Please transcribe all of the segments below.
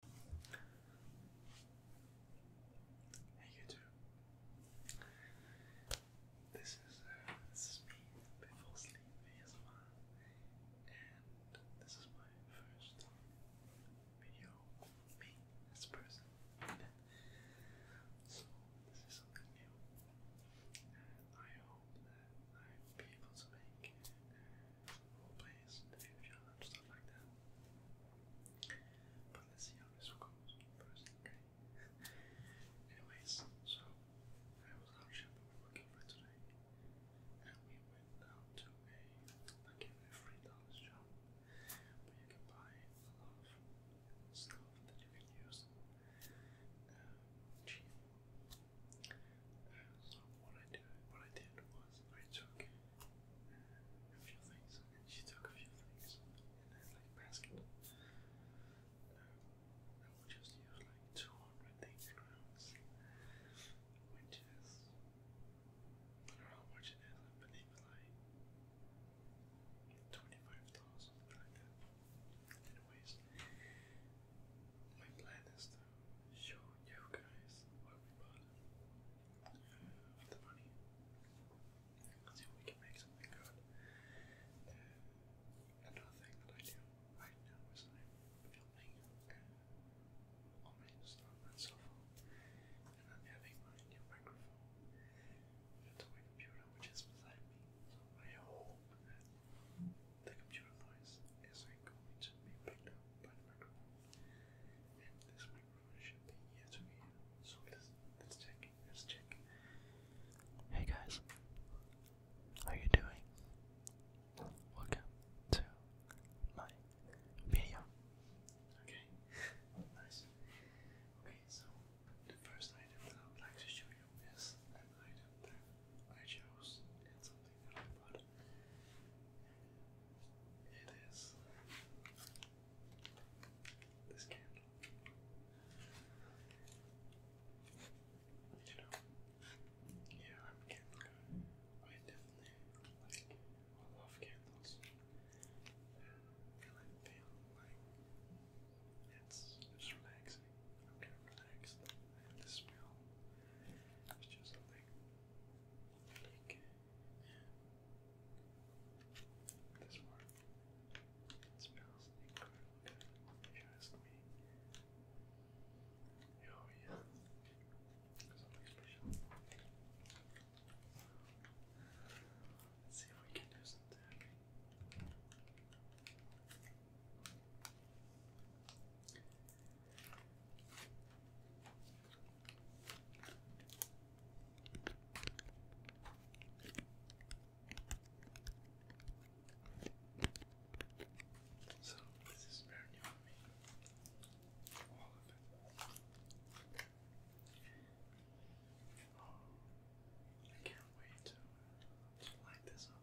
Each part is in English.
Hey you This uh, this is me before sleep ASMR, and this is my first video of as a person. So this is something new, and I hope that I will be able to make uh, role plays, the future, and stuff like that. But let's see how this goes first, okay? Anyways, so I was out shopping we were looking for today, and we went down to a like a free dollars shop where you can buy a lot of stuff that you can use um, cheap. So what I did, was I took a few things, she took a few things, and then like basket. I will just use like two hundred things grams, which is I don't know how much it is. I believe it's like twenty-five dollars, something like that. Anyways, my plan is to show you guys what we bought the money. See if we can make something good. another thing that I do right now is I'm filming all my stuff on my and I'm having my new microphone to my computer, which is beside me. So I hope the computer noise is going to be picked up by the microphone, and this microphone should be ear to ear. So let's let's check. Let's check. Hey guys, how you doing? Welcome to my video. Okay, nice. Okay, so the first item I would like to show you is an item that I chose and something that I bought it is this candle. You know, yeah, I'm a candle guy. I definitely like, I love candles. And I feel like it's just relaxing. I'm kind of it's just like this one. It smells if you ask me. Oh yeah. Something special. see if we can do something. So this is very new for me. All of it. Um, I can't wait to light this up.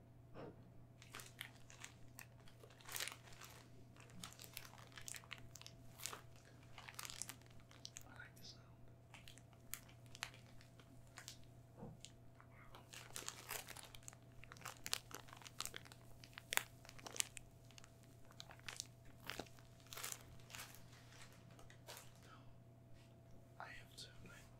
I like the sound. I have to like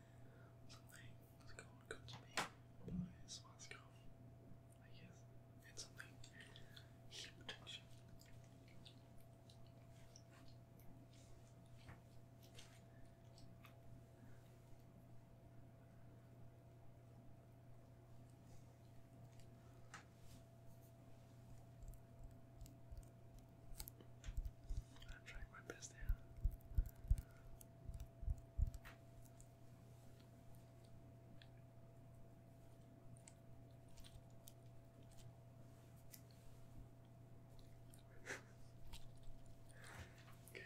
something that's called Good to Me by Swascom. I guess it's something heat protection. I'm trying my best here okay.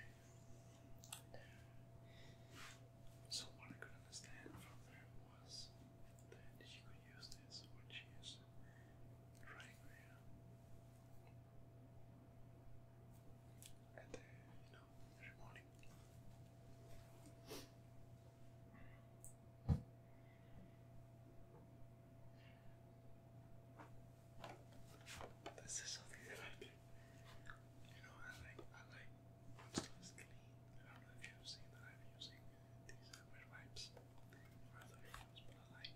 So what I could understand from there was that she could use this when she is running around at the, you know, every morning. This is something that I do. You know, I like, I like when clean. I don't know if you've seen that I'm using these uh, wipes for other videos, but I like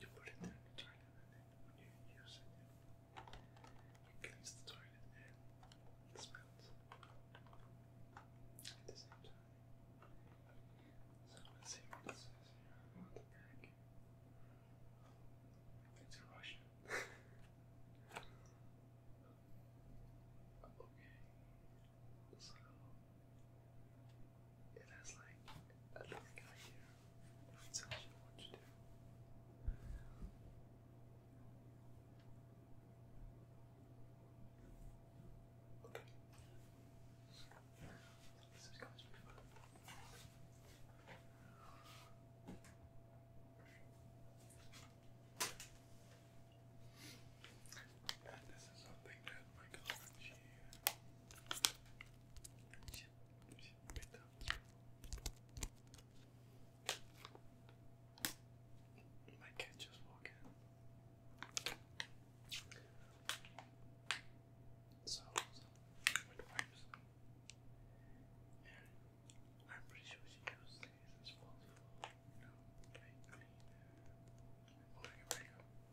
You put it in the toilet, and when you use it, it the toilet it smells at the same time. So let's see what it says here on the back. It's Russian. okay. So it has like a little guy here who tells you what to do. Okay. This is going to be fun. And this is something that my girlfriend she, she, picked up. My cat just walked in. So, I'm pretty sure she used these as well. You know, clean. Oh, here we go.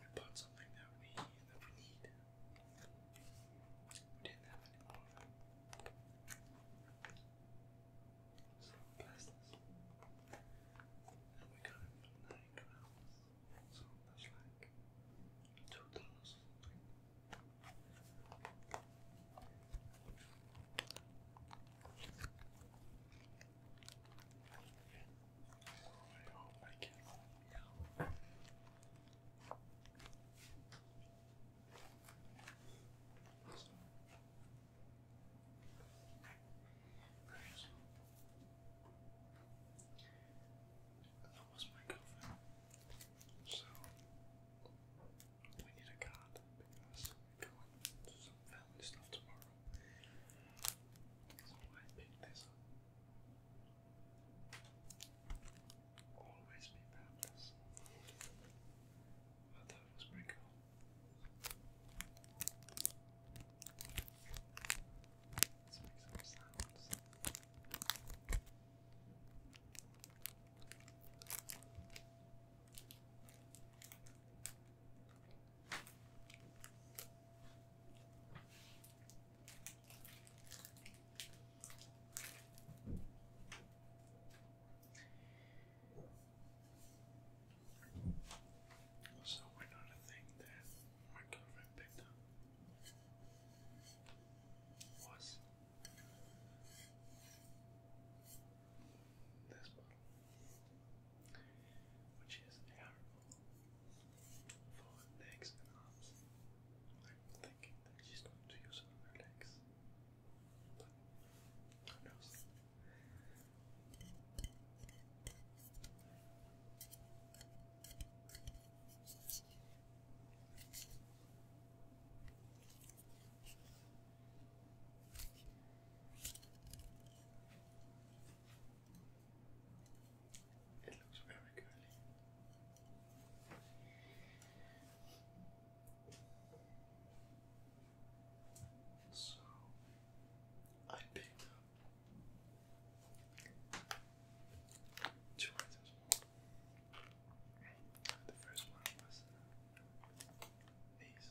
we bought something that we that we need. We didn't have any more of it. So pass And we got it So that's like two I hope That was my girlfriend. So we need a card going to some family stuff tomorrow. So I picked this up. Always be fabulous. I was pretty cool. Let's make some sounds. Also, we thing that my girlfriend picked up. Was this box? which is terrible for legs and arms. I'm thinking that she's going to use it legs, who knows? It looks very curly. So I picked two items The first one was uh, these.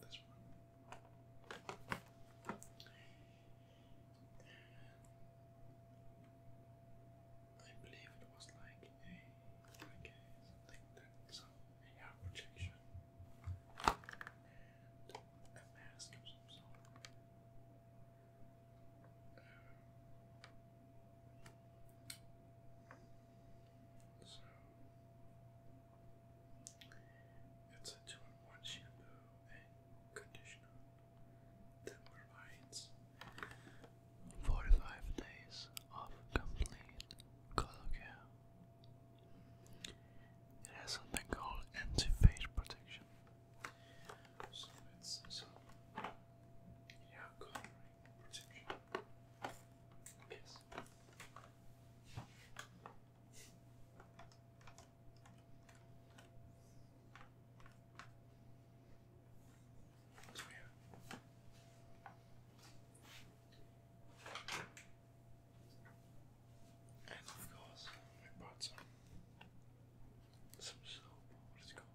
This one. I believe it was like a like something that some AR and a mask of some so it's a two in one shampoo and conditioner that provides 45 days of complete color care. It has something called anti fade protection protection. Yes. What do we have? And of course, we bought some some soap. What is it called?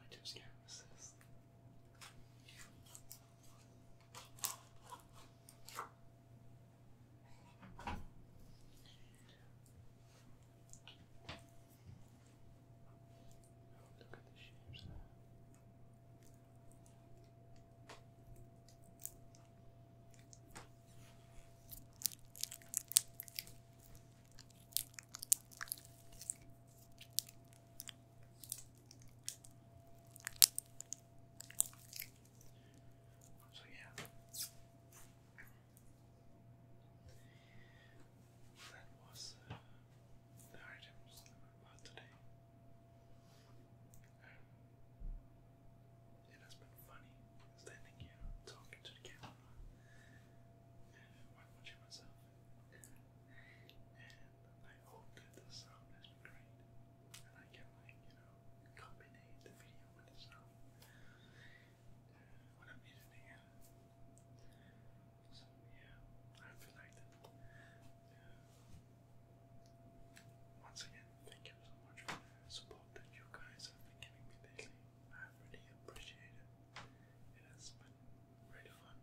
I just can't resist. Look at the shapes there. So yeah, that was uh, the items that we today. Um, it has been funny standing here talking to the camera. And while watching myself. And I hope that the sound has been great. And I can like, you know, combine the video with the sound. when I'm editing it. So yeah, I feel like uh, once again, thank you so much for the support that you guys have been giving me lately. I really appreciate it. It has been really fun,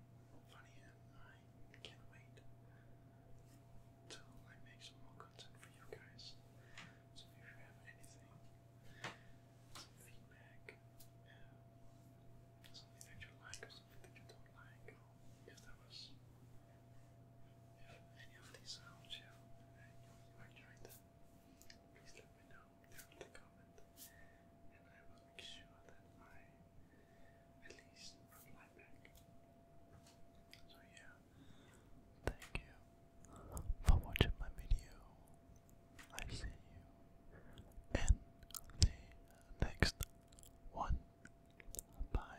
funny, and I can't wait till I make some more content for you guys. So if you have anything, some feedback, um, something that you like or something that you don't like, if there was if any of these sounds you, uh, you enjoyed them, please let me know down the comment, and I will make sure that I at least reply back. So yeah, thank you for watching my video. I see you in the next one. Bye.